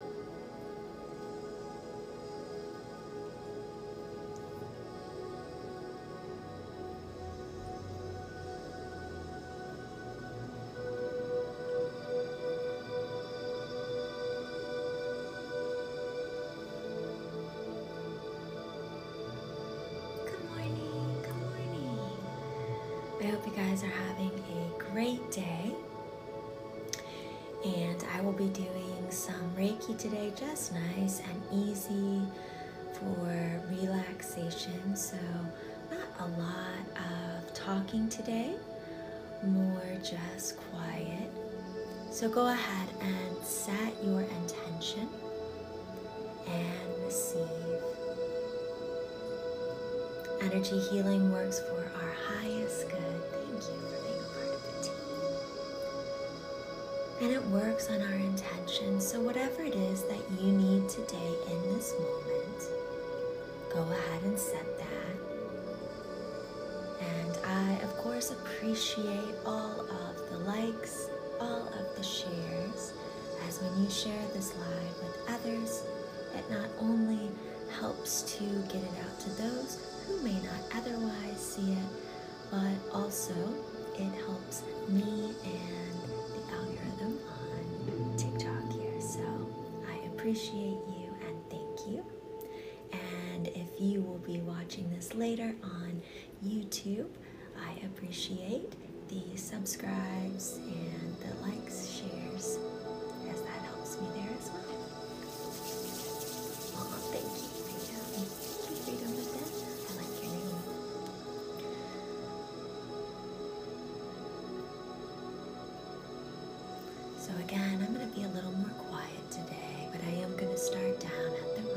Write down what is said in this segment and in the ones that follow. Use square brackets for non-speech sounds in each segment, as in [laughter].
Good morning, good morning. I hope you guys are having a great day. And I will be doing some Reiki today, just nice and easy for relaxation. So, not a lot of talking today, more just quiet. So, go ahead and set your intention and receive. Energy healing works for our highest good. Thank you for being a part of the team. And it works on our intention. So, whatever it is that you need today in this moment, go ahead and set that. And I, of course, appreciate all of the likes, all of the shares, as when you share this live with others it not only helps to get it out to those who may not otherwise see it, but also it helps me and the algorithm on TikTok here. So I appreciate you and thank you. And if you will be watching this later on YouTube, I appreciate the subscribes and the likes, shares, as that helps me there as well thank you, So, again, I'm going to be a little more quiet today, but I am going to start down at the root.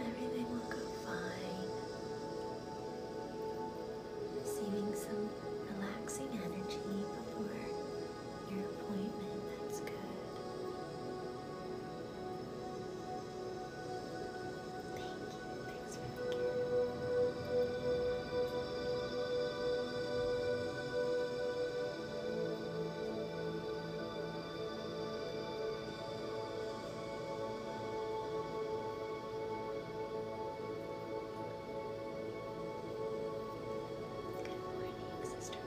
Everything will go fine. Receiving some relaxing energy before your appointment. That's good. Thank you. Thanks for the Good morning, sister.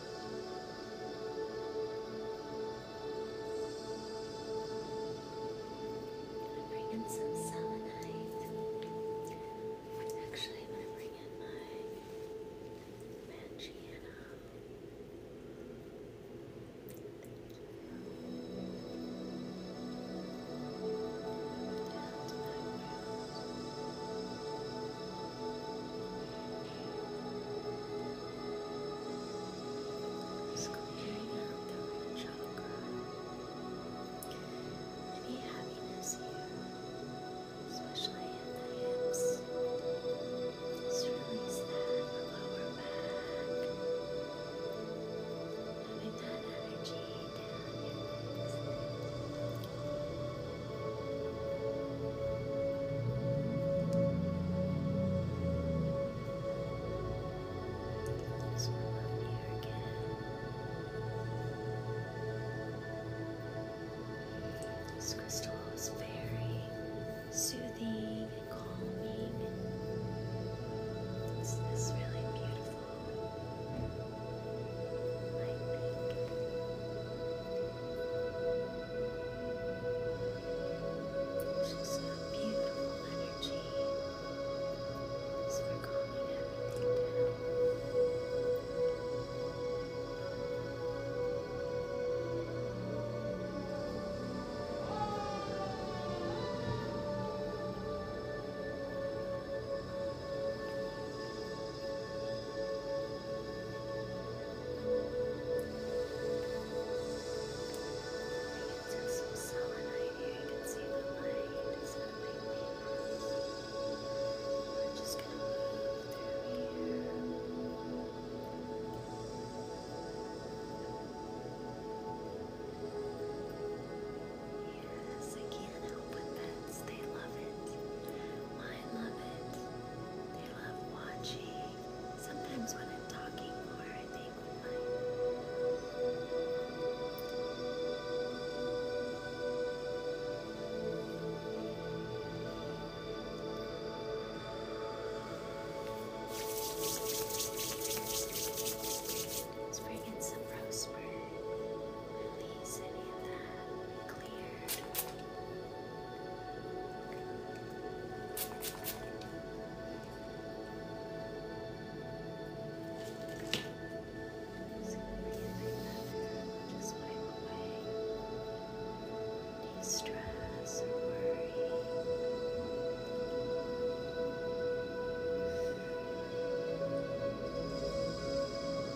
I'm gonna bring in some selenite. Actually, I'm gonna bring in my Magiana. Thank you. Down to my just clearing out the root chakra. Any heaviness here, especially in the hips. Just release that in the lower back. Having that energy down your legs. So up here again. This crystal is very soothing and calming. It's this really beautiful light just a beautiful energy as we calming everything I can some selenite here. You see the light is on my fingers. i just gonna move through here. Yes, I but They love it. I love it. Sometimes when I'm talking more, I think Let's bring in some rosemary. Release any of that cleared. So just wipe away any stress and worry. Just how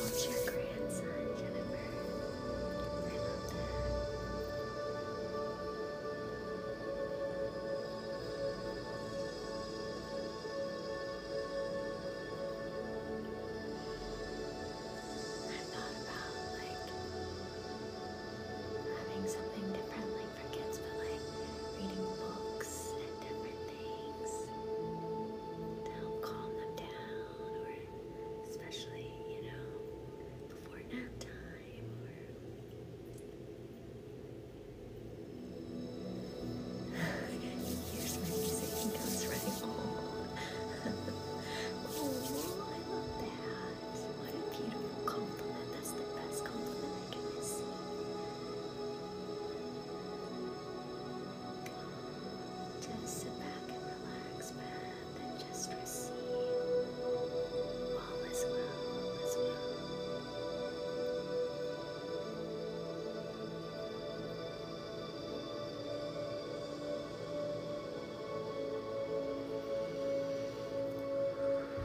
old's your grandson, Jennifer? I love that. i thought about like having something differently only for like reading books and different things to help calm them down, or especially, you know, before nap time, Here's [sighs] my music, he comes running oh, I love that. What a beautiful compliment. That's the best compliment I can receive. Just sit back and relax, man, and just receive. All is well, all is well.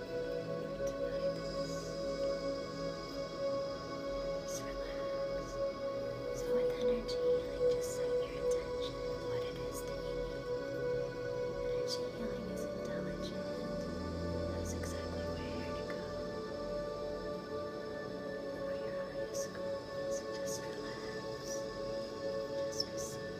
tonight. Just relax. So with energy healing, just set your intention and what it is that you need. Energy healing is intelligent. That's exactly where you're here to go. For your highest good. So just relax. Just receive.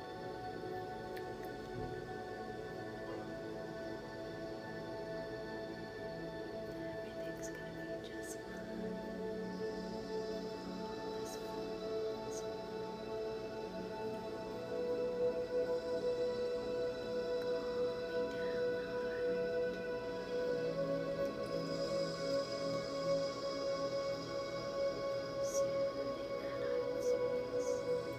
Everything's gonna be just fine. This falls. Calm me down, heart. Soothing that heart space.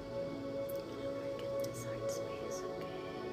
Now we're getting this heart space, okay? Okay.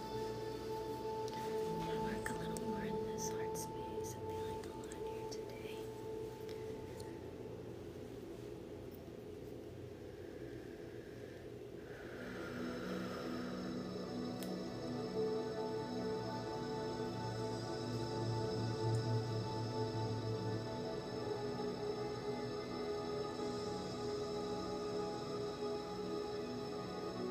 I'm gonna work a little more in this heart space. I'm feeling a lot here today. All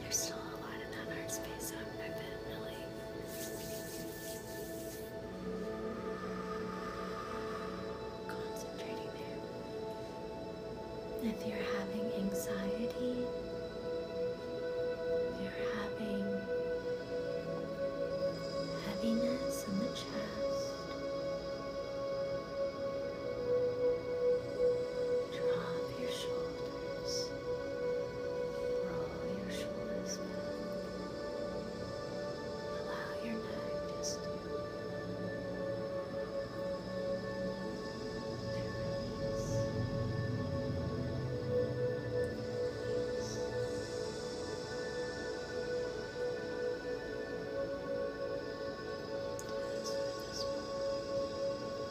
There's still a lot in that art space, I'm I really. Concentrating there. If you're having anxiety, you're having heaviness in the chest, drop your shoulders shoulders. Roll your shoulders back. Allow your neck just to, to release. Release. As for this one,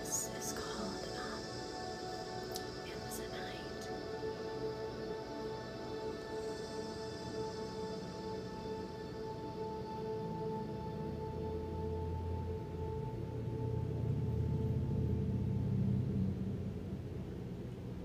This is called um, It Was a Night.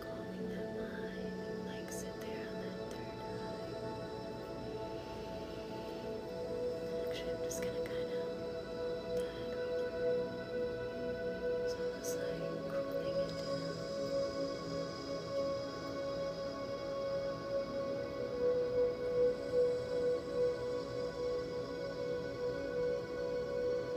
calming that mind and like sit there on that third eye. Actually, I'm just gonna kind of dive over. It's almost like cooling it down.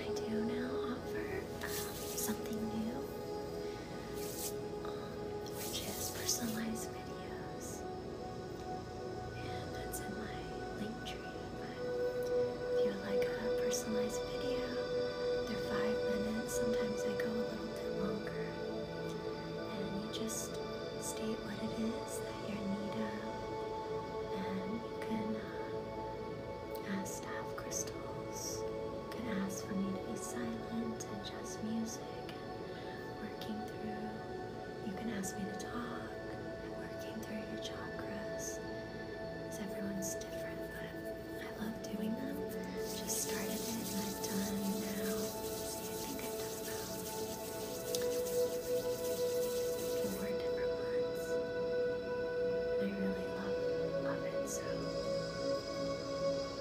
I do now offer um, something new, um, which is personalized videos, and that's in my link tree. if you like a personalized video, they're five minutes. Sometimes they go a little bit longer and you just state what it is that you're in need of, and you can uh, ask to have crystals, you can ask for me to be silent and just music and working through, you can ask me to talk and working through your chakras, because everyone's different, but I love doing them. Just started it and i am done now. I think I've done about four different ones. I really love, love it, so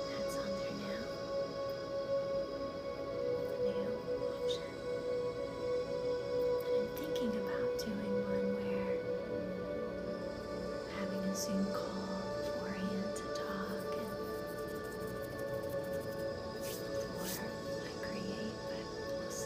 that's on there now. New option. I'm thinking about doing one where having a Zoom call beforehand to talk and or create, but we'll see.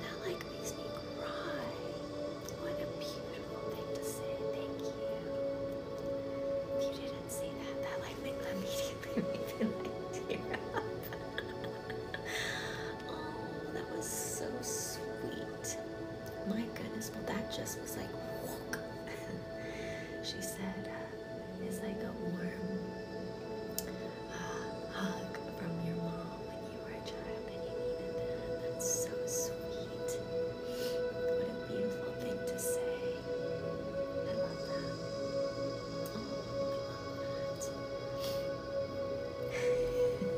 That like makes me cry. What a beautiful thing to say. Thank you. you didn't see that, that like made me [laughs] feel like tear up. [laughs] oh, that was so sweet. My goodness, but that just was like, walk. [laughs] she said, uh, it's like a warm uh, hug from your mom when you were a child and you needed that. That's so sweet. What a beautiful thing to say. I love that. Oh,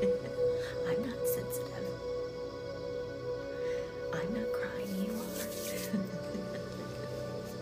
I love that. [laughs] I'm not sensitive. I'm not crying, you are. [laughs]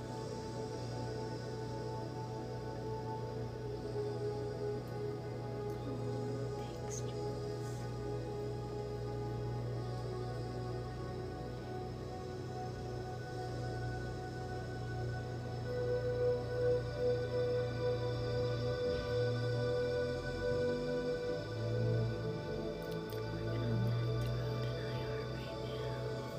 Thanks, Working on that throat and IR right now.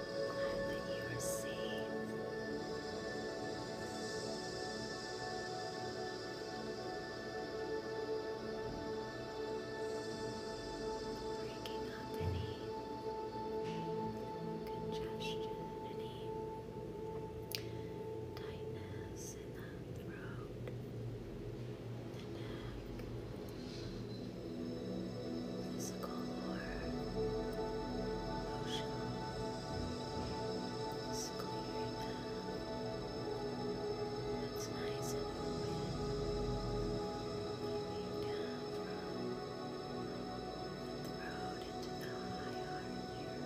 I you Breaking up any congestion, any tightness in that throat, the neck physical or emotional. It's clear now. It's nice and open. down from the throat into the high heart here.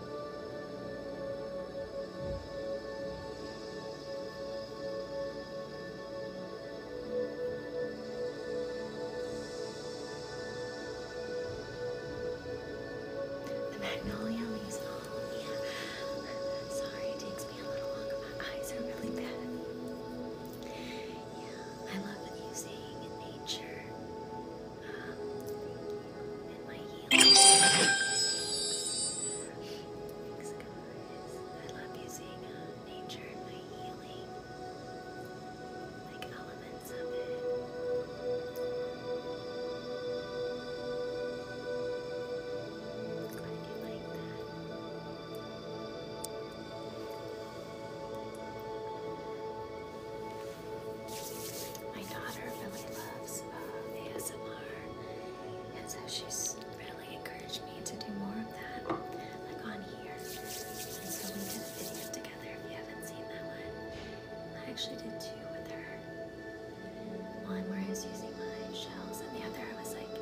The magnolia leaves all of me. Sorry, it takes me a little longer. My eyes are really bad. Yeah, I love when you sing in nature and my heels. Thanks, guys. I love using nature and my healing, like elements of it. Glad you like that. My daughter really loves uh, ASMR, and so she's really encouraged me to do more of that, like on here. And so we did videos together. If you haven't seen that one, I actually did two with her. One where I was using my shells, and the other I was like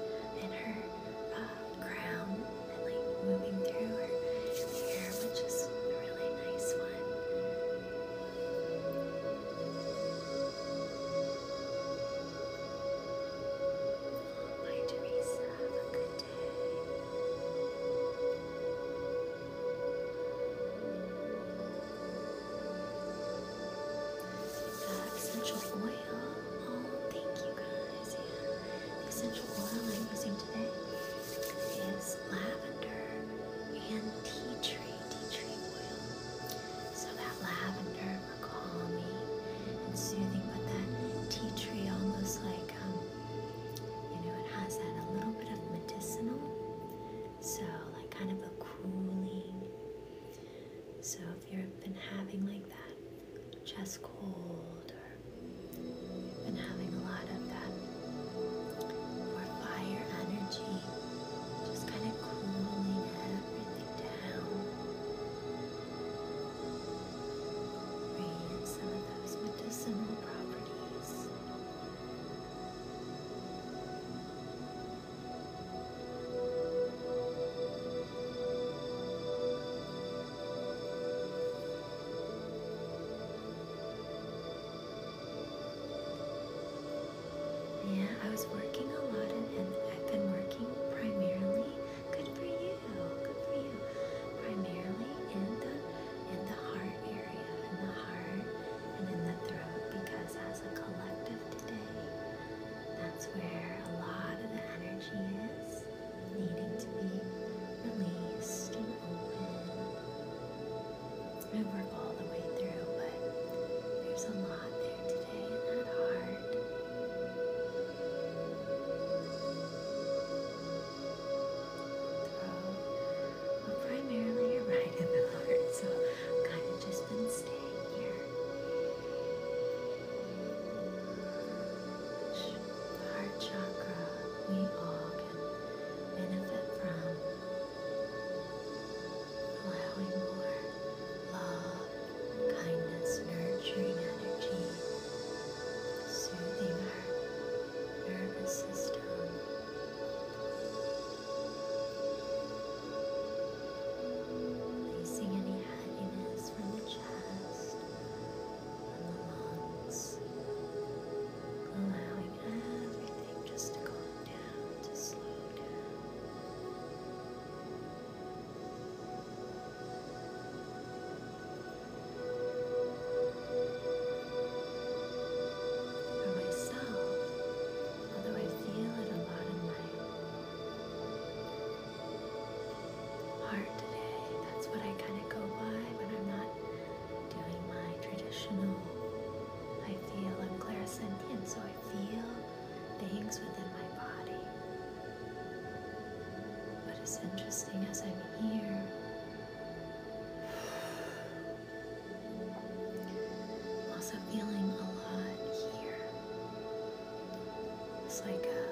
in her uh, crown and like moving through her hair, which is a really nice one. Hi Teresa, have a good day. essential oil. Oh, thank you guys. Yeah. Essential oil I'm using today is lavender and tea tree, tea tree oil. So that lavender for calming and soothing, but that tea tree almost like, um, you know, it has that a little bit of medicinal. So like kind of a cooling. So if you've been having like that chest cold or you've been having a lot of that or fire energy, just kind of cooling everything down. Breathe some of those medicinal properties. Breathe yeah, I was working a lot and, I've been working primarily, good for you, good for you, primarily in the, in the heart area, in the heart and in the throat because as a collective today, that's where a lot of the energy is needing to be released I work all the way through, but there's a lot there today in that heart. primarily you're right in the heart, so kind of just been staying here. Heart chakra, we all can benefit from allowing more love, kindness, nurturing energy, soothing our nervous system. Releasing any heaviness from the chest, from the lungs, allowing everything just to go slow down. For myself, although I feel it a lot in my heart today, that's what I kind of go by when I'm not doing my traditional. I feel I'm clairsentient, so I feel things within my body. But it's interesting as I'm here. also feeling a lot here. It's like a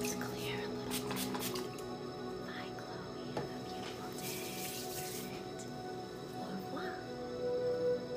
Let's clear a little bit. Bye, Chloe. Have a beautiful day. And au revoir. Thank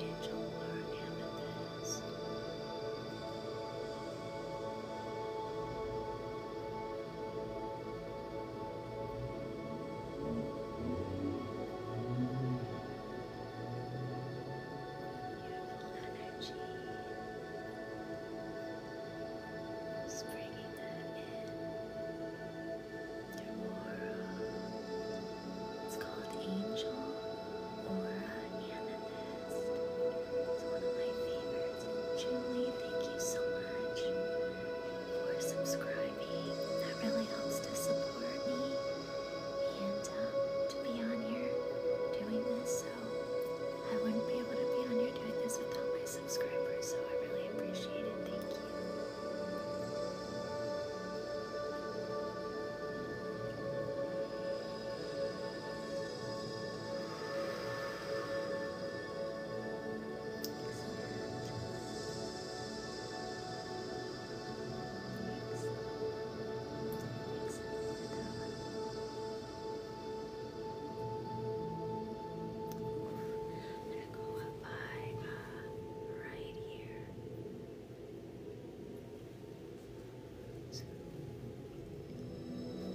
Angel Learn Amethyst. Beautiful energy. Just bringing that in. Your aura. It's called Angel Aura Amethyst. It's one of my favorites. Julie, thank you so much for subscribing. That really helps to support me and to be on here doing this. So I wouldn't be able to be on here doing this without my subscribers. So I really appreciate it. Thank you. I'm gonna go up by uh, right here. So. Right here.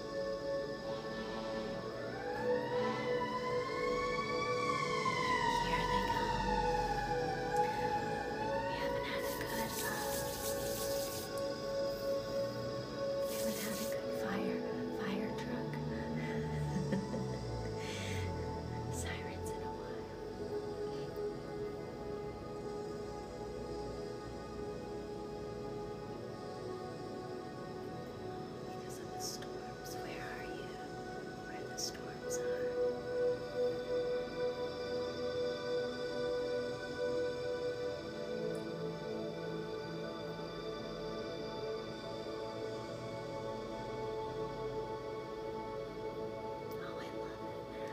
Here they go. We haven't had a good uh, we haven't had a good fire fire truck. Sirens in a while. Because of the storms. Where are you? Where the storms are. Oh, I love it.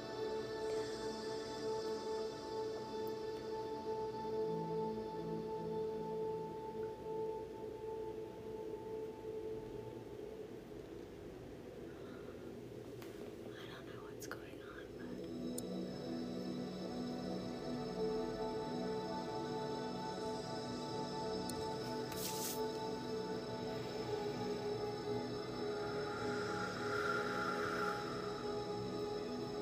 I don't know what's going on, but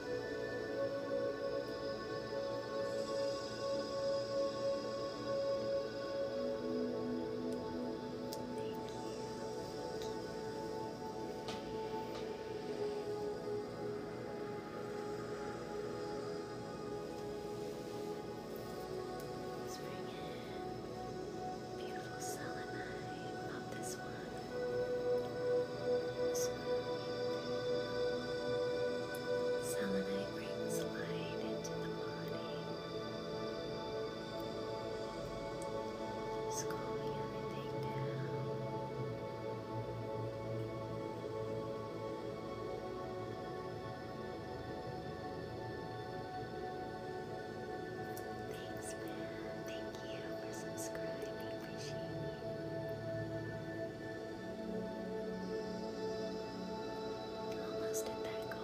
Let's bring in beautiful selenite of this one. Selenite brings light into the body. Just calming everything down. Thanks, man. Thank you for subscribing appreciate Almost at that goal.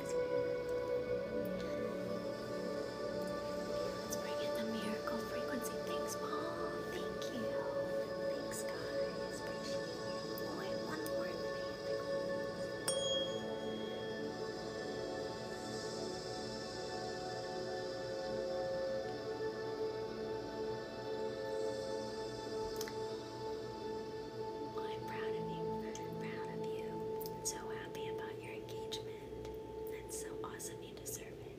Let's bring in the miracle frequency. Thanks, Paul. Thank you. Thanks, guys. Appreciate it. Oh, one more thing. I'm proud of you. Proud of you. So happy about your engagement. That's so awesome. You deserve it.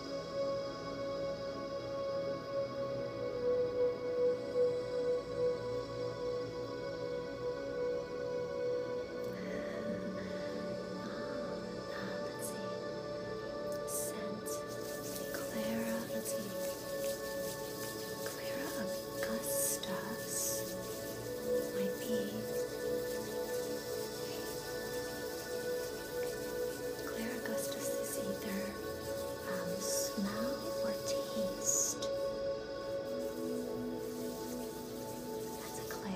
Uh, let's see. Scent. Clara let's see. Clara Augustus might be Claire Augustus is either um, smell or taste. That's a Claire.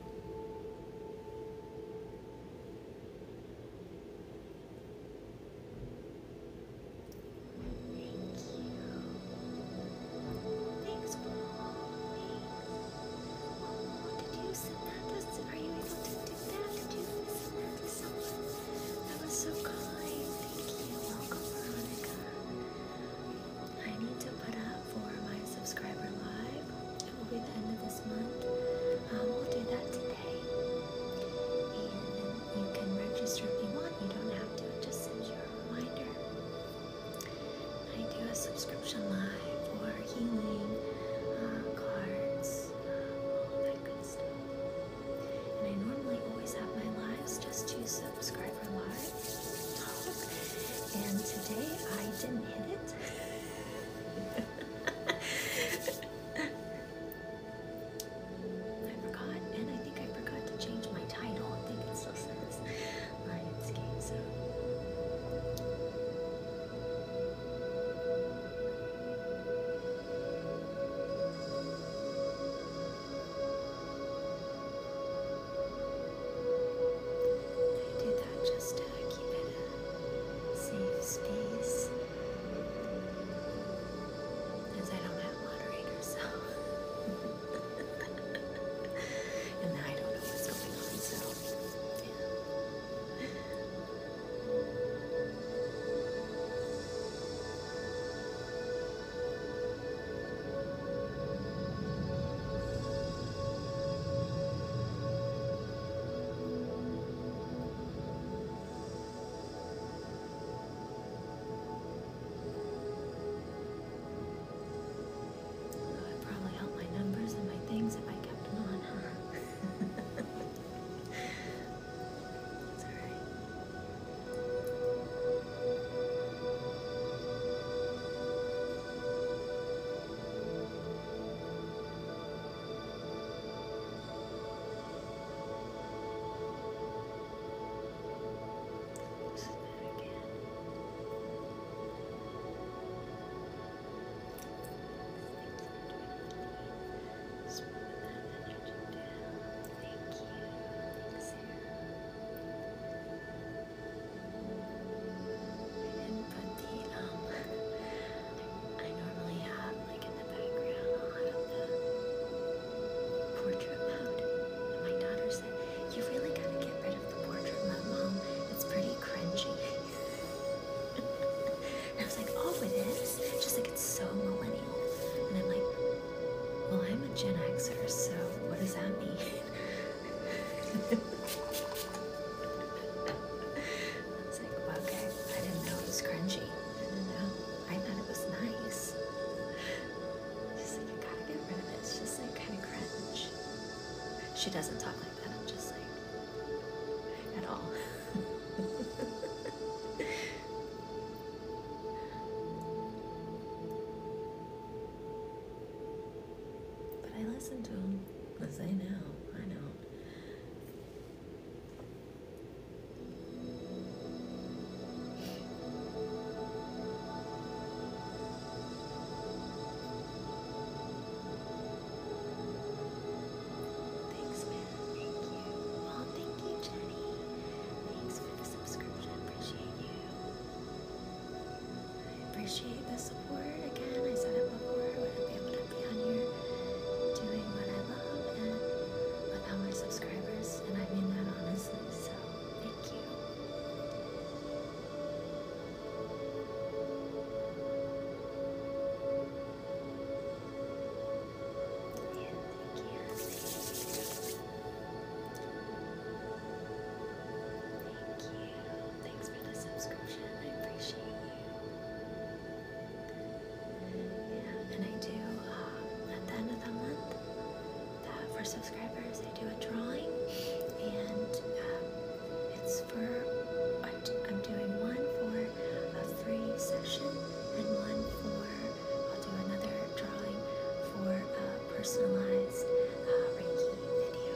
Thanks for the did you send that? Does, are you able to do that to someone? That was so kind. Thank you. Welcome, Veronica. I need to put up for my subscriber live. It will be the end of this month. Um, we'll do that today. And you can register if you want. You don't have to. It just sends you a reminder. I do a subscription live for healing uh, cards, um, all that good stuff. And I normally always have my lives just to subscriber live talk. And today I didn't hit it. I forgot, and I think I forgot to change my title. I think it still says Lionscape Zone. So. I did that just to keep it a safe space. Because I don't have moderators, [laughs] and I don't know what's going on, I'd probably help my numbers and my things if I kept them on, huh? That's [laughs] alright. All Listen again. Smooth that energy down. Thank you. Thanks, Sarah. I didn't put the, um, I, normally have, like, in the background, a lot of the portrait mode. my daughter said, you really gotta get rid of the portrait mode, Mom. It's pretty cringy. and I was like, oh, it is? She's like, it's so millennial. And I'm like, well, I'm a Gen Xer, so what does that mean? [laughs] I like, okay, I didn't know it was crunchy. I didn't know. I thought it was nice. She's like, gotta get rid of it. It's just like kind of crunch. She doesn't talk like that. I'm just like, at all. [laughs] but I listen to him. Because know. I don't. Thanks, man. Thank you. Well, thank you, Jenny. Thanks for the subscription. Appreciate you. I appreciate the support. Again, I said it before, I wouldn't be able to be on here doing what I love and without my subscribers, and I mean that honestly, so thank you. Yeah, thank you. Thank you. Thanks for the subscription. I appreciate you. Yeah, and I do uh, at the end of the month uh, for subscribers. I do a drawing, and uh, it's for I'm doing one for a free session and one for I'll do another drawing for a personalized Reiki video.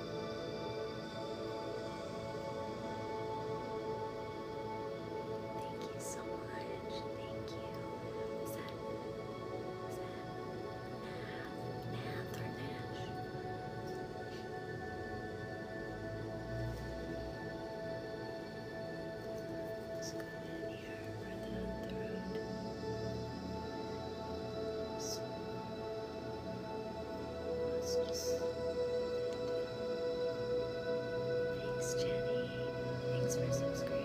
Thank you so much. Thank you. Is that is that Nath or Nash? Let's go in here for the, the road. So, Thanks, Jenny. Thanks for subscribing.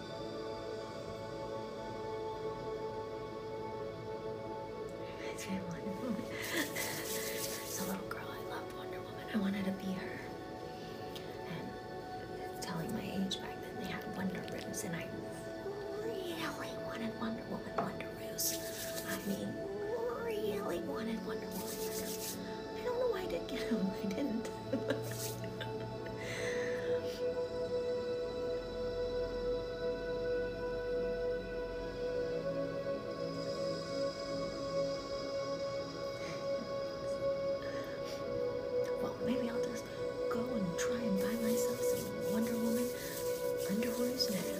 Reminds me Wonder Woman. As a little girl, I loved Wonder Woman. I wanted to be her. And telling my age back then, they had Wonder Rooms, and I really wanted Wonder Woman Wonder Rooms. I mean, really wanted Wonder Woman. I don't know why I didn't get them. I didn't well, maybe I'll just go and try and buy myself some Wonder Woman underwears now.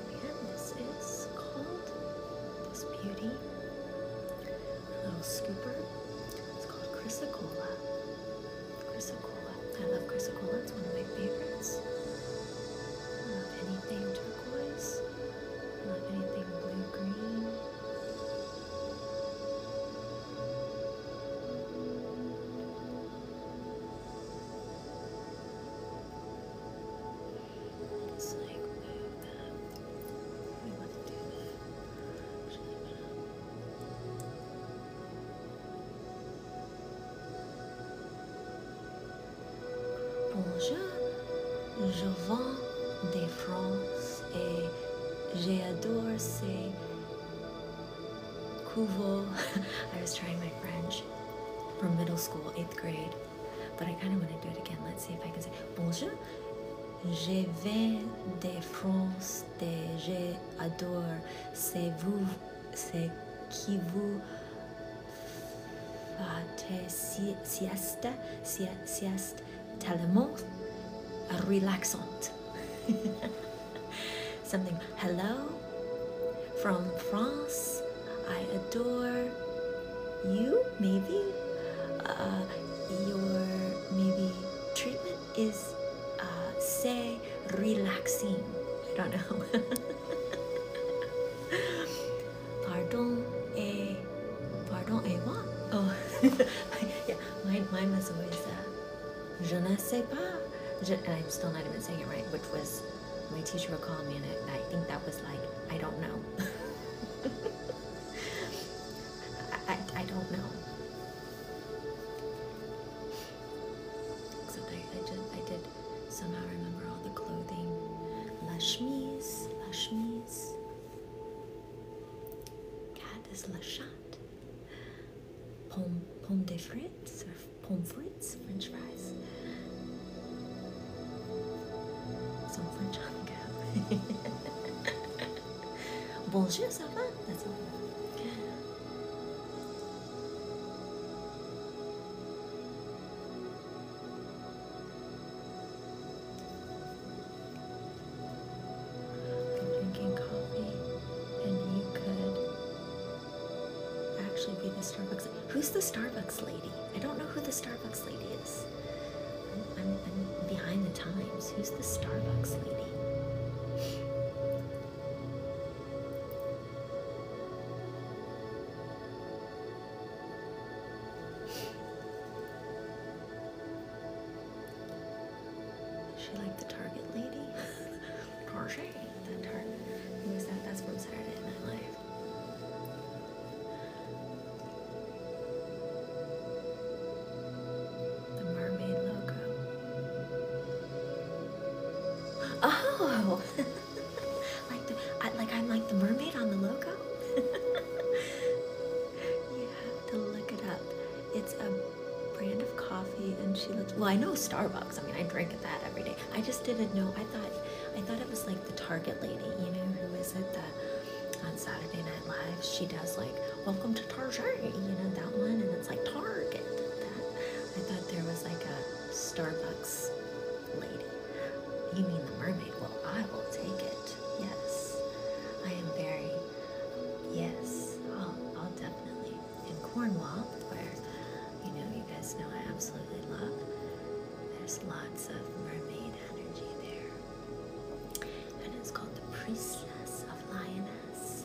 this is called this beauty, a little scooper. It's called Chrysocola. Chrysocola. I love Chrysocola. It's one of my favorites. I love anything turquoise. I love anything blue green. Bonjour, je vends des France et j'adore ces couvaux. [laughs] I was trying my French from middle school, eighth grade. But I kind of want to do it again. Let's see if I can say bonjour. Je viens de France, je adore. C'est vous, c'est qui vous faites si, Siesta, si, sieste tellement relaxante. [laughs] Something. Hello from France. I adore you, maybe. Uh, your maybe treatment is, uh, say, relaxing. I don't know. [laughs] pardon et pardon et moi. Oh, [laughs] yeah, mine, mine was always uh, je ne sais pas. Je, I'm still not even saying it right, which was my teacher would call me, and I, think that was like, I don't know. [laughs] I, I, don't know. Except I, I, did, somehow remember all the clothing. Lashmis, Lashmis. Cat is Lashat. Pomme, pomme de frites or pommes french fries. Some french hunk. [laughs] Bonjour, ça va? I'm drinking coffee, and you could actually be the Starbucks. Who's the Starbucks lady? I don't know who the Starbucks lady I'm, behind the times. Who's the Starbucks lady? She like the Target lady. [laughs] Porsche, that Target. Who that? That's from Saturday Night Live. The mermaid logo. Oh, [laughs] like the like I'm like the mermaid on the logo. [laughs] you to look it up. It's a brand of coffee, and she looks. Well, I know Starbucks. I mean, I drink at that every day. I just didn't know. I thought I thought it was like the Target lady, you know, who is it that on Saturday Night Live she does like welcome to Target, you know, that one and it's like Target I thought there was like a Starbucks lady. You mean the mermaid? Well I will take it. Yes. I am very yes, I'll I'll definitely in Cornwall where you know you guys know I absolutely love there's lots of mermaid energy there. And it's called the Priestess of Lioness.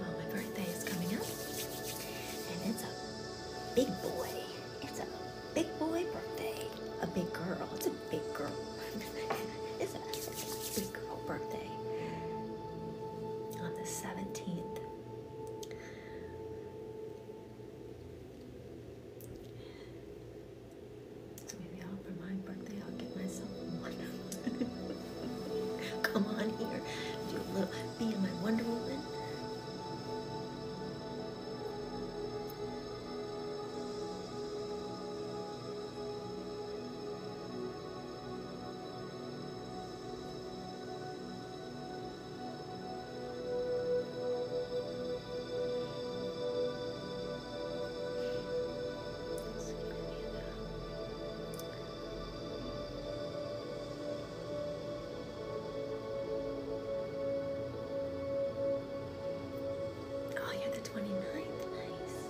Well, my birthday is coming up, and it's a big boy. It's a big boy birthday. A big girl. It's a big girl. [laughs] it's, a, big girl birthday on the 17th. So maybe i my birthday, I'll get myself one. [laughs] [laughs] Come on here, do a little, be in my Wonder Woman. Oh, you're the 29th. Nice.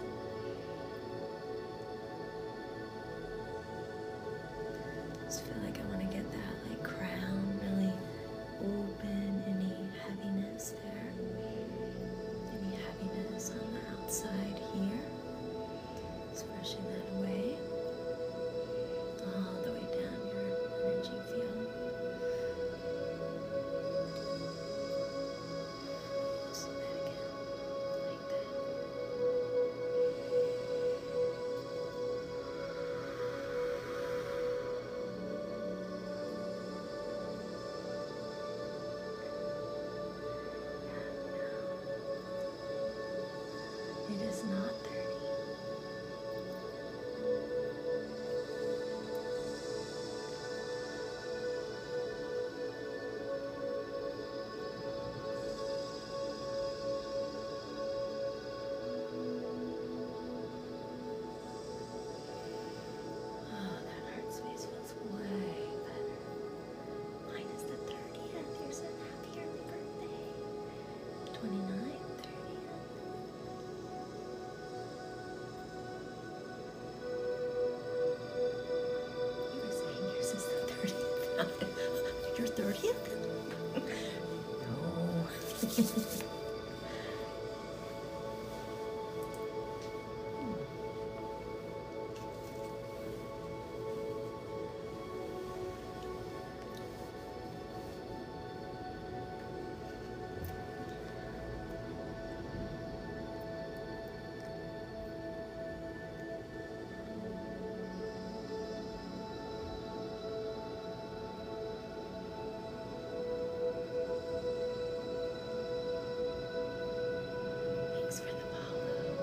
I just feel like I want to get that like crown really open. Any heaviness there? Any heaviness on the outside here? Just brushing that away all the way down your energy field. Just that again, like that. And it is not thirty. Oh, ah, that heart space feels way better. Mine the 30th. You're so happy early birthday. 29th, You were saying yours is the 30th. Your 30th? no. Thanks for the follow.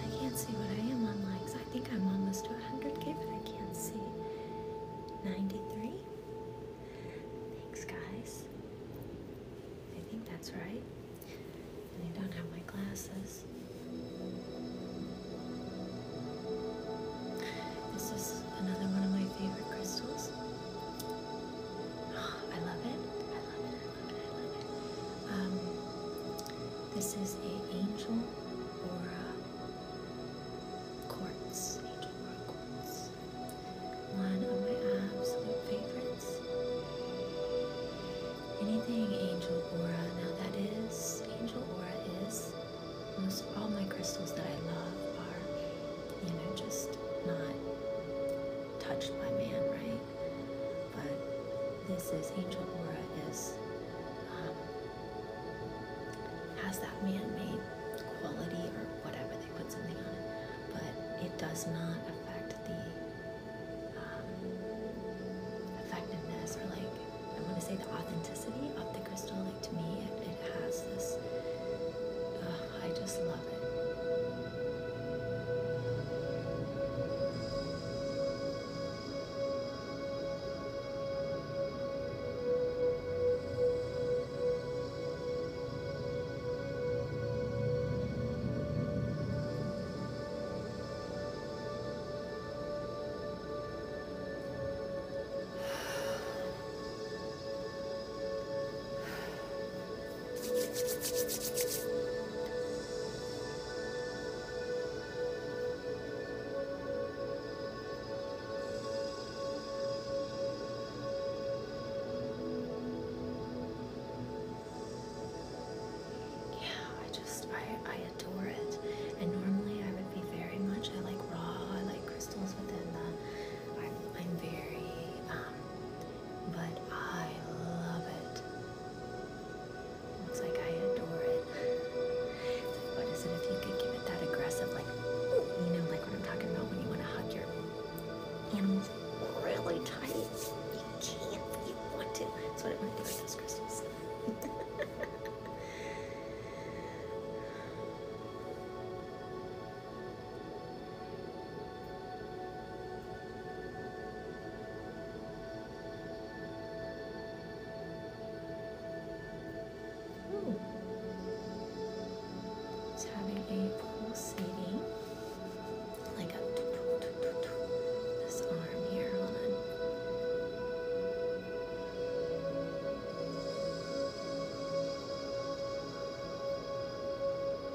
I can't see what I am on likes. I think I'm almost to 100k, but I can't see. 93? Thanks, guys. I think that's right. And I don't have my glasses. This is another one of my favorite crystals. [gasps] I love it. I love it. I love it. I love it. Um, this is a angel or a quartz. Angel or quartz. One of my absolute favorites. Anything angel aura. Now that is angel aura is most all my crystals that I love are you know, just not touched by man, right? But this is Angel Aura is um, has that man-made quality or whatever they put something on it, but it does not affect the um, effectiveness or like I want to say the authenticity of the crystal. Like to me, it has this. I just love it. Yeah, I just I I adore it. And normally I would be very much I like raw, I like crystals within the uh, I'm I'm very um, but I love it. Looks like I adore it. what is it if you could give it that aggressive, like, you know, like what I'm talking about when you want to hug your animals really tight? You can't, you want to. That's what it might be like this [laughs] Ooh. It's having a pulsating, like a doo -doo -doo -doo -doo. this arm here. Hold on.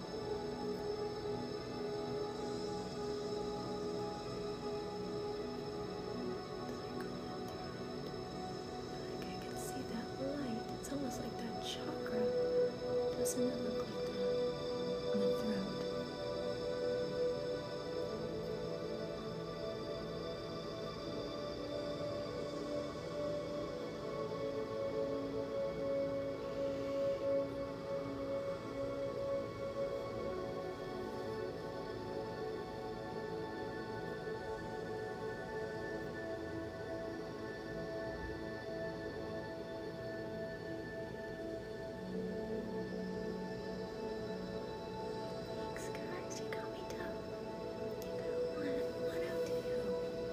Like I can see that light. It's almost like that chakra. Doesn't it look like that? In the throat. Thanks guys, you got me down. You got one, one out to you.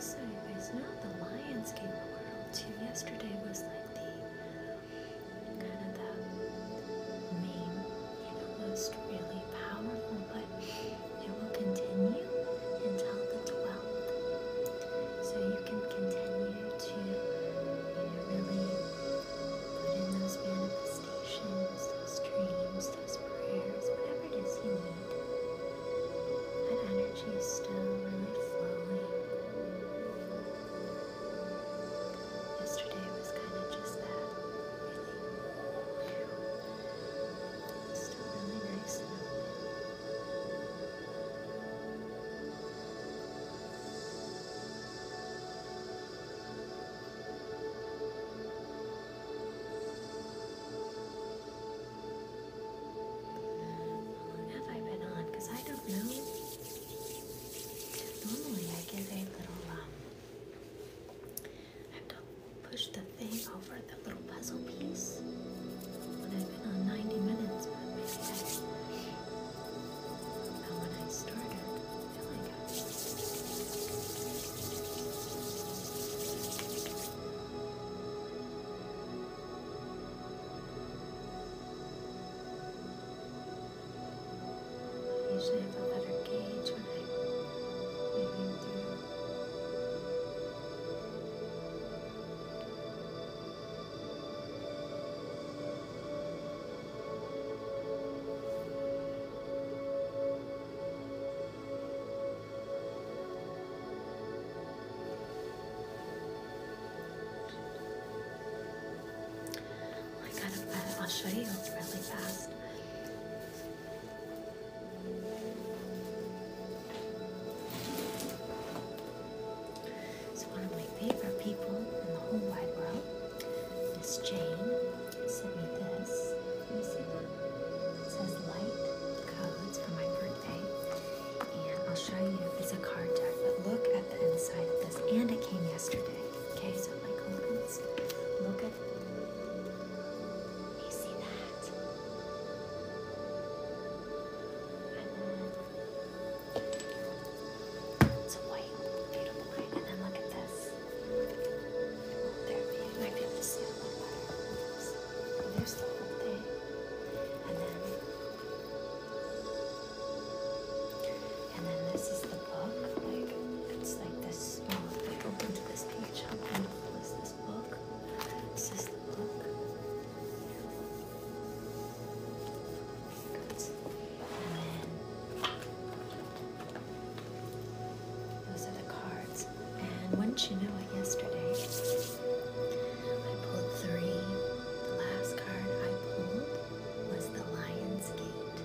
So, anyways, now the Lions Game World too. Yesterday was like the kind of the main, you know, most really powerful, but it will continue until the 12th. So you can continue to, you know, really put in those manifestations, those dreams, those prayers, whatever it is you need. That energy is still really flowing. Yesterday was kind of just that, really. It's still really nice long have I been on? Because I don't know. Normally I give a little, um, I have to push the thing over the little puzzle piece. When I've been on 90 minutes, maybe I, but when I started, I Usually I have a better gauge when I'm moving through. I kind of, I'll show you really fast. So one of my favorite people in the whole wide world, Miss Jane, sent me this says light codes for my birthday. And I'll show you, it's a card deck, but look at the inside of this. And it came yesterday. Okay, so like opens. Look at you see that? And then it's white, beautiful light. And then look at this. There, you might there's the whole thing. And then and then this is the book. Like it's like this small. Oh, if open to this page, how beautiful is this book? This is the book. And then those are the cards. And once you know it yesterday, I pulled three. The last card I pulled was the Lion's Gate.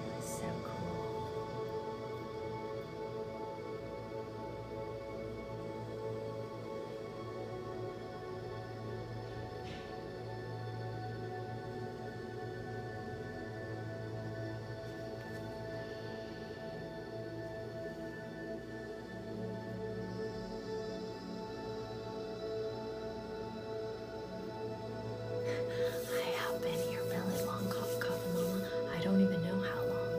It was so cool. I have been here really long, cough, cough, and I don't even know how long.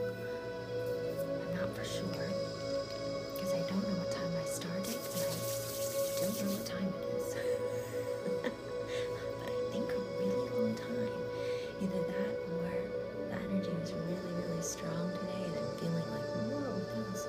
I'm not for sure. Because I don't know what time I started, and I don't know what time it is. [laughs] but I think a really long time. Either that or the energy was really, really strong today, and I'm feeling like, whoa, that was.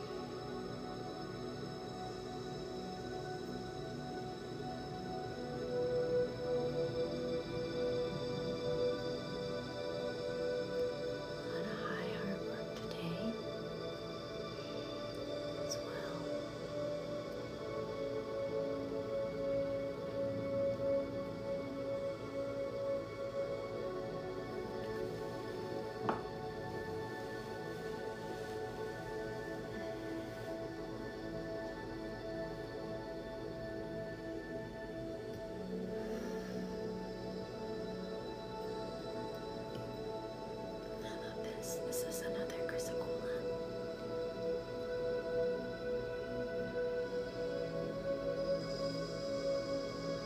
lot of high hard work today as well. All I love this. This is another chrysocolla.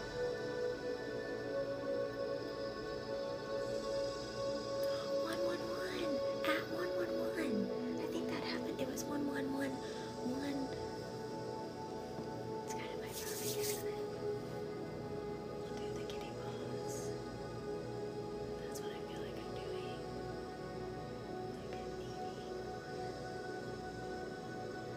111 at 111. I think that happened. It was 1111. One. It's kind of my perfect, isn't it? do the kitty paws. That's what I feel like I'm doing. Like I'm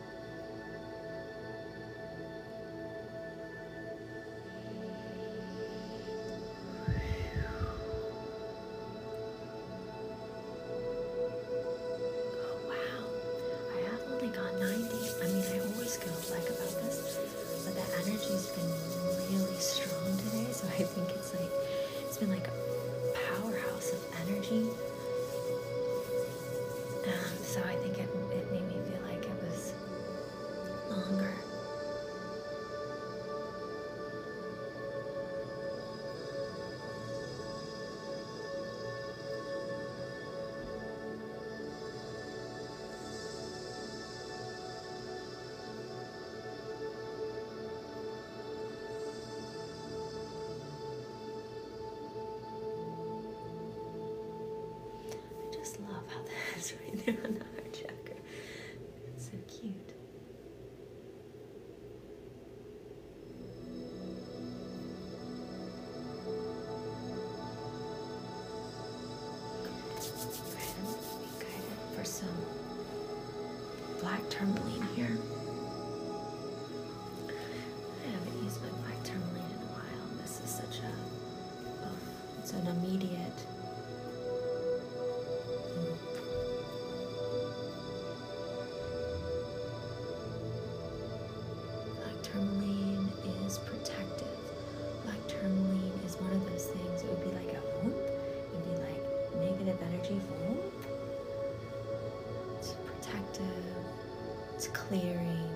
Oh wow, I have only got 90. I mean, I always go like about this, but the energy's been really strong today, so I think it's like it's been like a powerhouse of energy. Um, so I think it, it made me feel like it was longer. I just love how that is right [laughs] there on the heart chakra. It's so cute. for some black tourmaline here. I haven't used my black tourmaline in a while. This is such a it's an immediate Black tourmaline is protective. Black tourmaline is one of those things. It would be like a whoop. It would be like negative energy whoop. It's protective. It's clearing.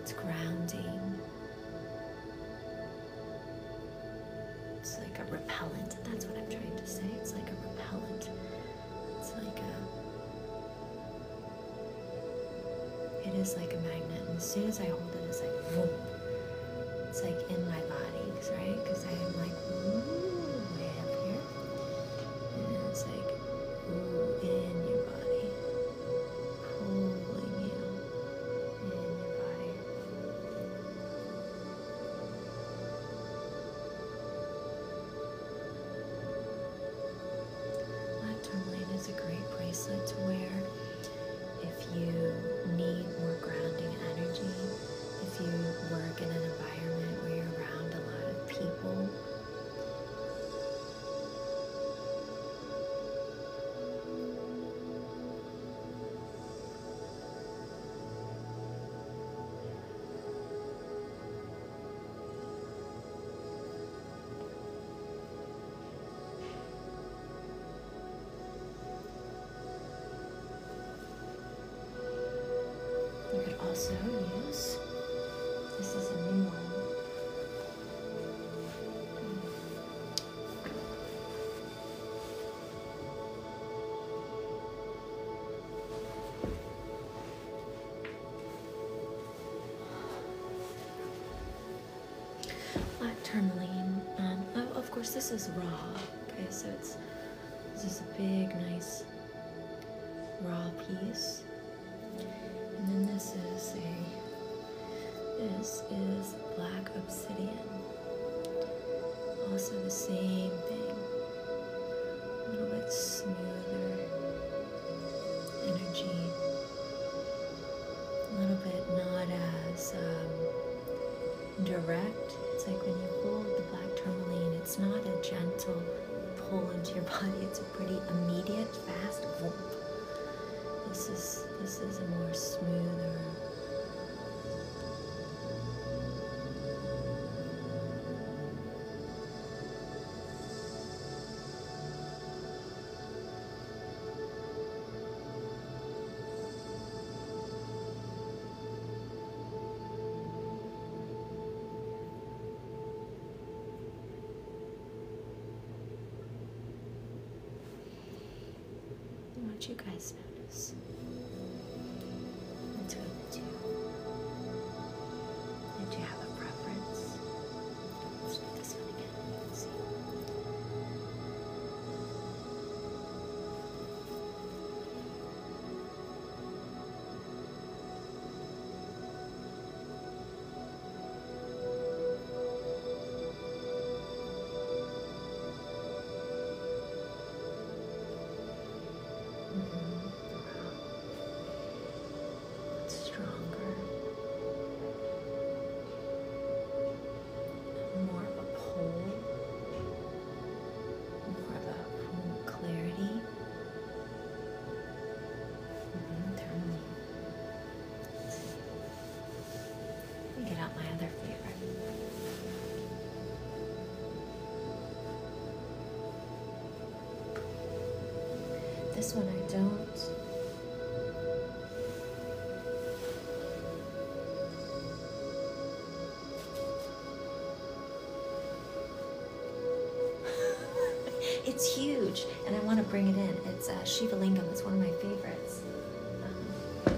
It's grounding. It's like a repellent. That's what I'm trying to say. It's like a repellent. It's like a. It is like a magnet. And as soon as I hold it, it's like boom. It's like in my body, right? Because I am like, ooh, way up here. And it's like. Ooh, in your body, is a great bracelet to wear if you need more grounding energy, if you work in an environment where you're around a lot of people. You could also use this is a new one. Black tourmaline. Um, oh, of course, this is raw. Okay, so it's this is a big, nice raw piece this. And then this is a, this is black obsidian. Also the same thing, a little bit smoother energy, a little bit not as um, direct. It's like when you hold the black tourmaline, it's not a gentle pull into your [laughs] body, pretty immediate, fast This is this is a more smoother. I want you guys to notice. Between the two. And you have a preference? Let's do this one again. You can see. Mm-hmm. It's stronger and more of a pull, more of a full clarity. Mm -hmm. Let me get out my other favorite. This one I don't. [laughs] it's huge and I want to bring it in. It's uh, Shiva Lingam. It's one of my favorites. Um,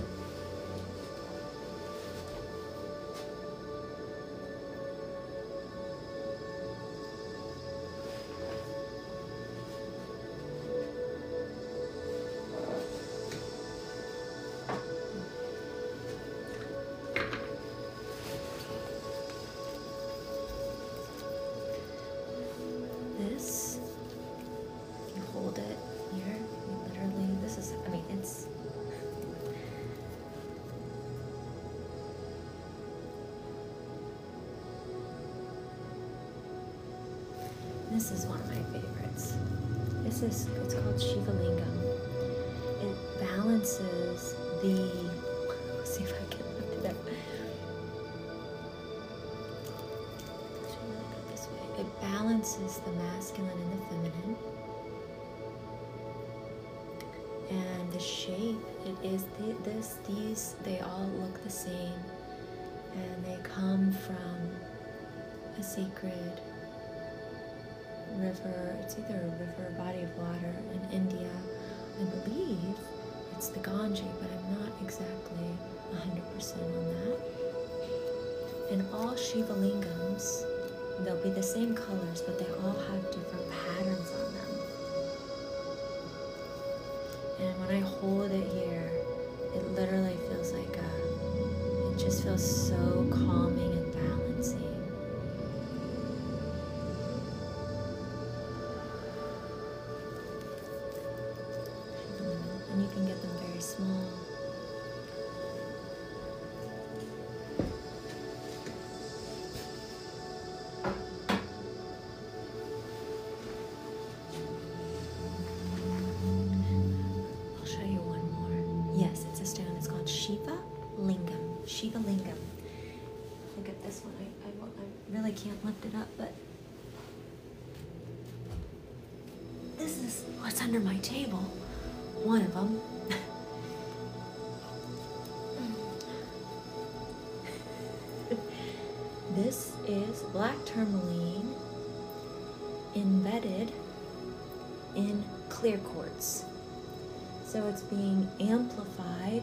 this, you hold it here, literally, this is, I mean, it's. This is one of my favorites. This is, it's called Shiva Lingam. It balances the, [laughs] let's see if I can lift it it balances the masculine and the feminine. And the shape, it is this, these, they all look the same. And they come from a sacred river. It's either a river, a body of water in India, I believe it's the Ganji, but I'm not exactly 100% on that. And all Shiva Lingams, they'll be the same colors, but they all have different patterns on them. And when I hold it here, it literally feels like a, uh, it just feels so calming and balancing. And you can get them very small. I'll show you one more. Yes, it's a stone. It's called Shiva Lingam. Shiva Lingam. Look at this one really can't lift it up, but this is what's under my table. One of them. [laughs] this is black tourmaline embedded in clear quartz. So it's being amplified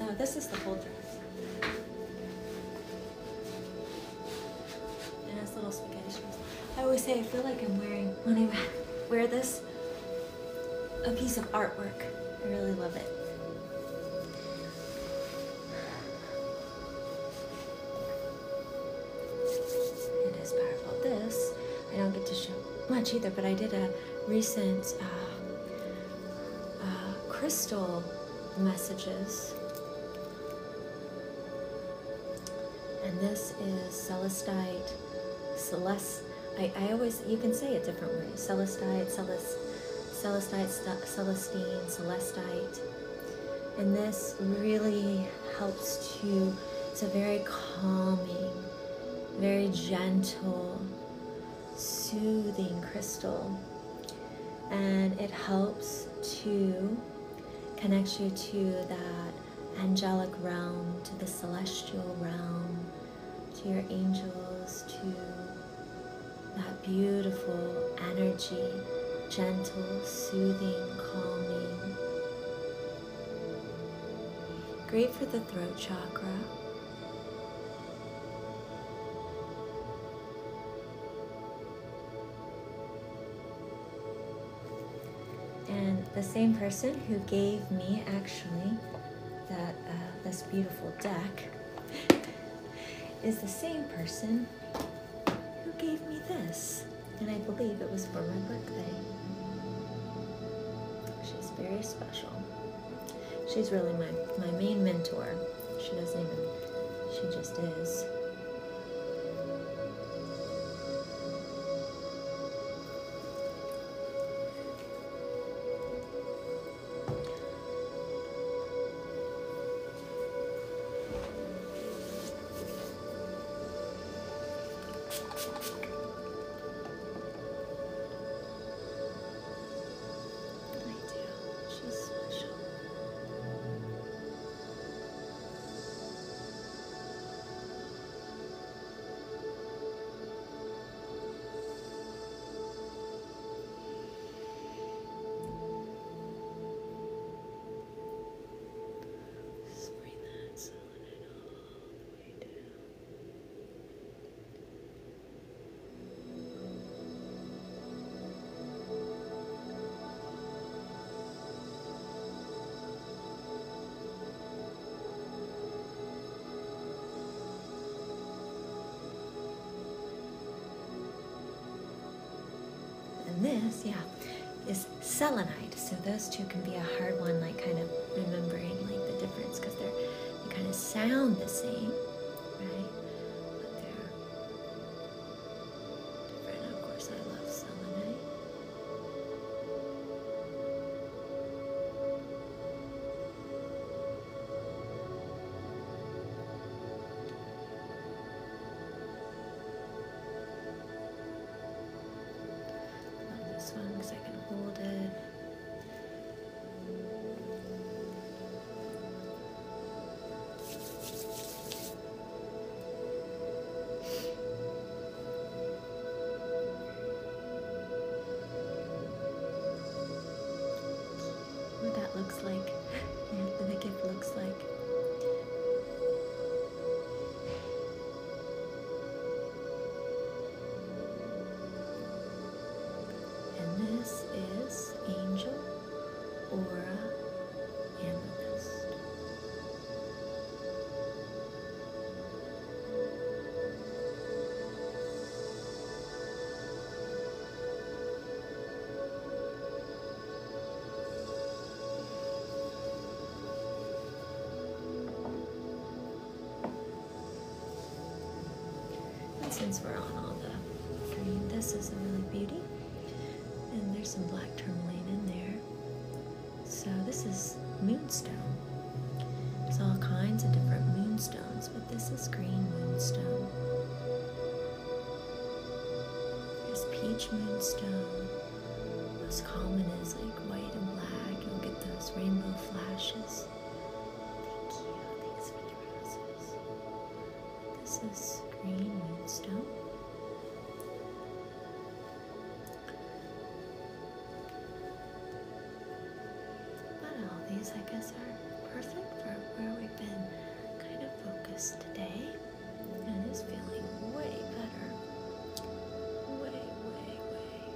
Uh, no, this is the whole dress. And it's little spaghetti straps. I always say I feel like I'm wearing, when I [laughs] wear this, a piece of artwork. I really love it. It is powerful. This I don't get to show much either, but I did a recent uh, uh, crystal messages. And this is celestite, celeste. I, I always, you can say it different ways celestite, celest, celestite, celestine, celestite. And this really helps to, it's a very calming, very gentle, soothing crystal and it helps to connect you to that angelic realm, to the celestial realm, to your angels, to that beautiful energy, gentle, soothing, calming. Great for the throat chakra. And the same person who gave me actually that uh, this beautiful deck [laughs] is the same person who gave me this. And I believe it was for my birthday. She's very special she's really my, my main mentor. She doesn't even, she just is. But I do. She's special. all the way down. And this, yeah, is selenite. So those two can be a hard one, like kind of remembering like the difference because they're they kind of sound the same, right? But they're different. Of course, I love selenite. Love this one because I can hold it. What that looks like, yeah, the gift looks like and this is Angel Aura Amethyst. And since we're on all the green, this is a really beauty. And there's some black tourmaline in there. So this is moonstone. There's all kinds of different moonstones, but this is green moonstone. There's peach moonstone. Most common is like white and black. You'll get those rainbow flashes. Thank you. Thanks for This is green moonstone. But all these, I guess, are perfect for where we've been kind of focused today. And it's feeling way better. Way, way, way.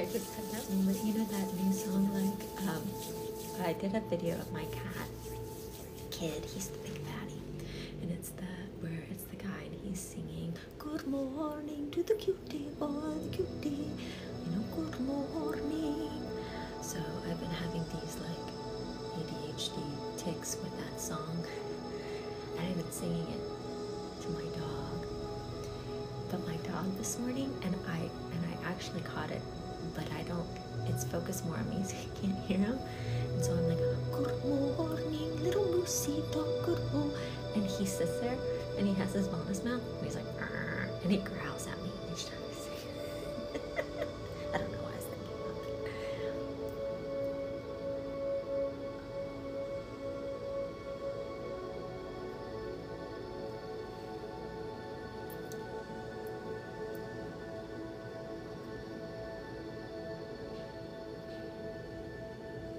I just had that moment, you know that new song, like, um, I did a video of my cat, kid, he's the big fatty, and it's the, where it's the guy and he's singing, good morning to the cutie, boy, the cutie, you know, good morning. So I've been having these like ADHD ticks with that song, and I've been singing it to my dog. But my dog this morning, and I and I actually caught it, but I don't. It's focused more on me, [laughs] so can't hear him. And so I'm like, good morning, little Lucy dog, good and he sits there and he has his ball in his mouth and he's like and he growls at me each time I say it. [laughs] don't know why I was thinking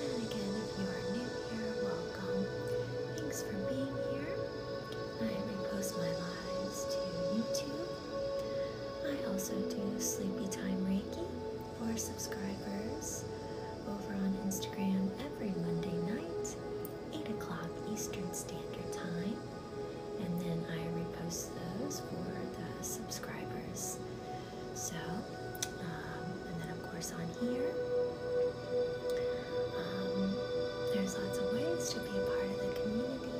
And again, if you are new here, welcome. Thanks for being here. I repost my lives to YouTube. I also do sleepy time Reiki for subscribers over on Instagram every Monday night, 8 o'clock Eastern Standard Time. And then I repost those for the subscribers. So, um, and then of course on here, um, there's lots of ways to be a part of the community.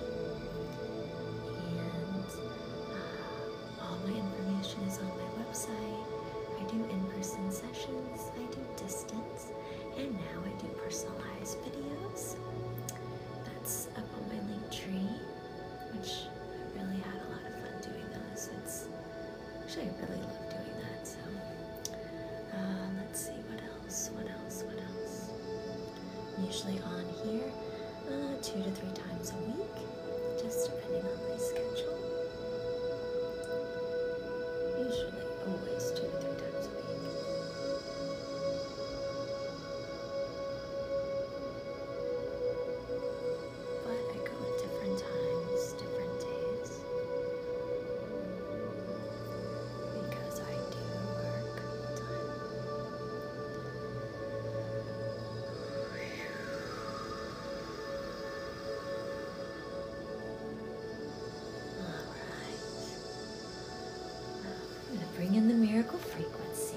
And uh, all my information is on my website. I do in person sessions, I do distance. And now I do personalized videos. That's up on my link tree, which I really have a lot of fun doing those. actually I really love doing that. So uh, let's see what else, what else, what else. usually on here uh, two to three times a week, just depending on my schedule. Usually, always two or three times a week. But I go at different times, different days. Because I do work Alright. I'm going to bring in the miracle frequency.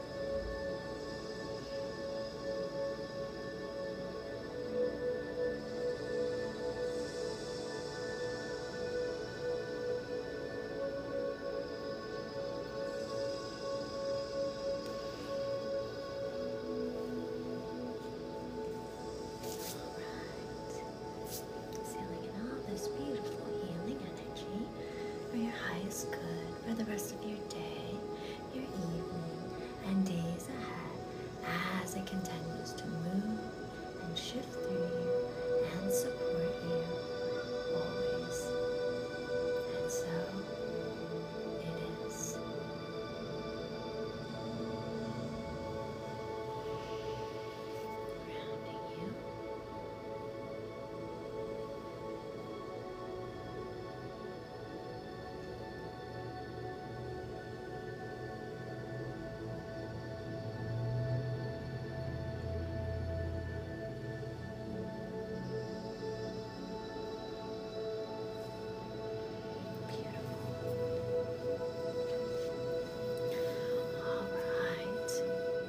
Alright. Sailing in all this beautiful healing energy for your highest good for the rest of your day, your evening, and days ahead as it continues to move and shift through you and support you always. And so it is. Rounding you. Beautiful. All right.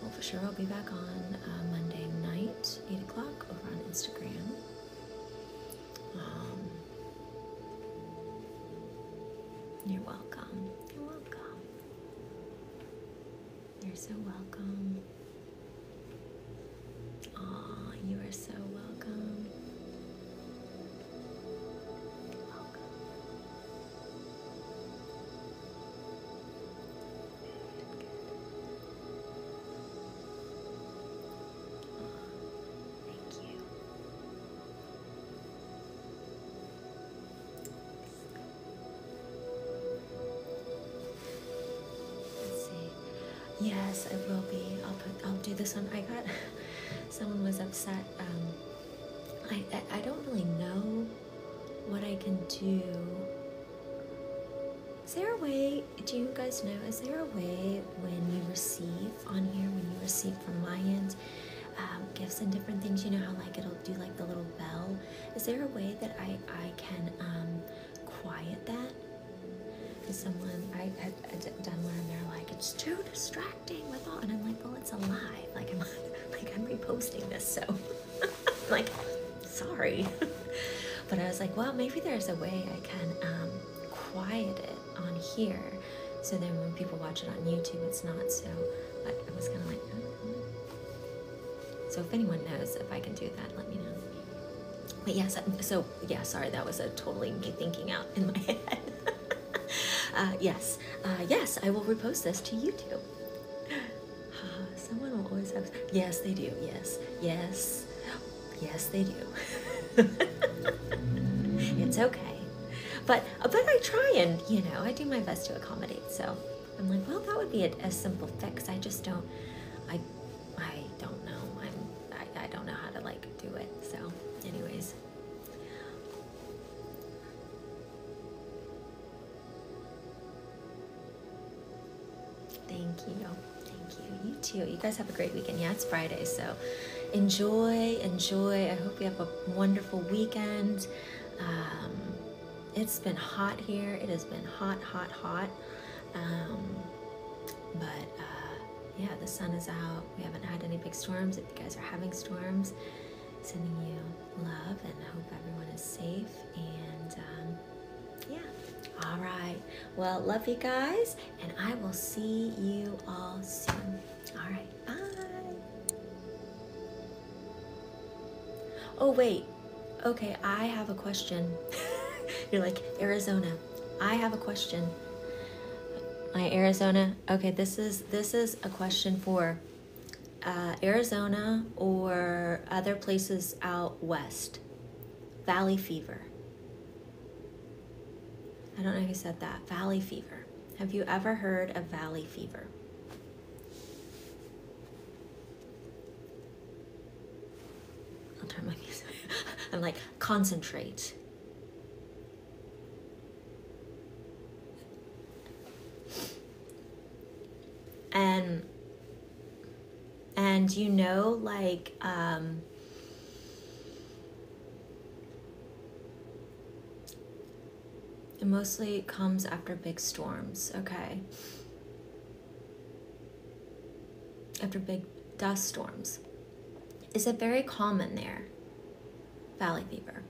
Well, for sure, I'll be back on uh, Monday night, 8 o'clock, over on Instagram. Um, you're welcome. You're welcome. You're so welcome. Aw, you are so Welcome. Thank you. Let's see. Yes, I will be. I'll put. I'll do this one. I got. [laughs] Someone was upset. Um, I I don't really know what I can do. Is there a way, do you guys know, is there a way when you receive on here, when you receive from my end, um, gifts and different things, you know how like it'll do like the little bell? Is there a way that I, I can um, quiet that? Because someone, I, had done one and they're like, it's too distracting with all, and I'm like, oh while it's alive. Like I'm, like I'm reposting this, so [laughs] like, sorry. [laughs] but I was like, well, maybe there's a way I can um, quiet it on here, so then when people watch it on YouTube, it's not so. I was kind of like, uh-huh. so if anyone knows if I can do that, let me know. But yes, um, so yeah, sorry, that was a totally me thinking out in my [laughs] head. Uh, yes, uh, yes, I will repost this to YouTube uh, [sighs] someone will always have. Yes, they do. Yes, yes, yes, they do. [laughs] it's okay, but but I try and you know I do my best to accommodate. So I'm like, well, that would be a, simple fix. I just don't. I I don't know. I'm I don't know how to like do it. So, anyways. Thank you. Thank you. You too. You guys have a great weekend. Yeah, it's Friday, so enjoy, enjoy. I hope you have a wonderful weekend. Um, it's been hot here. It has been hot, hot, hot. Um, but uh, yeah, the sun is out. We haven't had any big storms. If you guys are having storms, Sending you love and I hope everyone is safe. And um, yeah. All right. Well, love you guys, and I will see you all soon. All right. Bye. Oh, wait. Okay, I have a question. [laughs] You're like, Arizona. I have a question. My Arizona. Okay, this is this is a question for uh, Arizona or other places out west. Valley fever. I don't know if who said that. Valley fever. Have you ever heard of valley fever? I'll turn my music. [laughs] I'm like, concentrate and and you know like um, it mostly comes after big storms okay after big dust storms is it very common there valley fever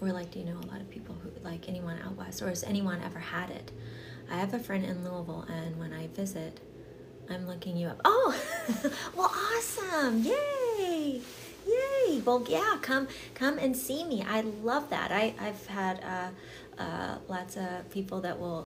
or like, do you know a lot of people who like anyone out west, or has anyone ever had it? I have a friend in Louisville, and when I visit, I'm looking you up. Oh, [laughs] well, awesome! Yay! Yay! Well, yeah, come come and see me. I love that. I I've had uh, uh, lots of people that will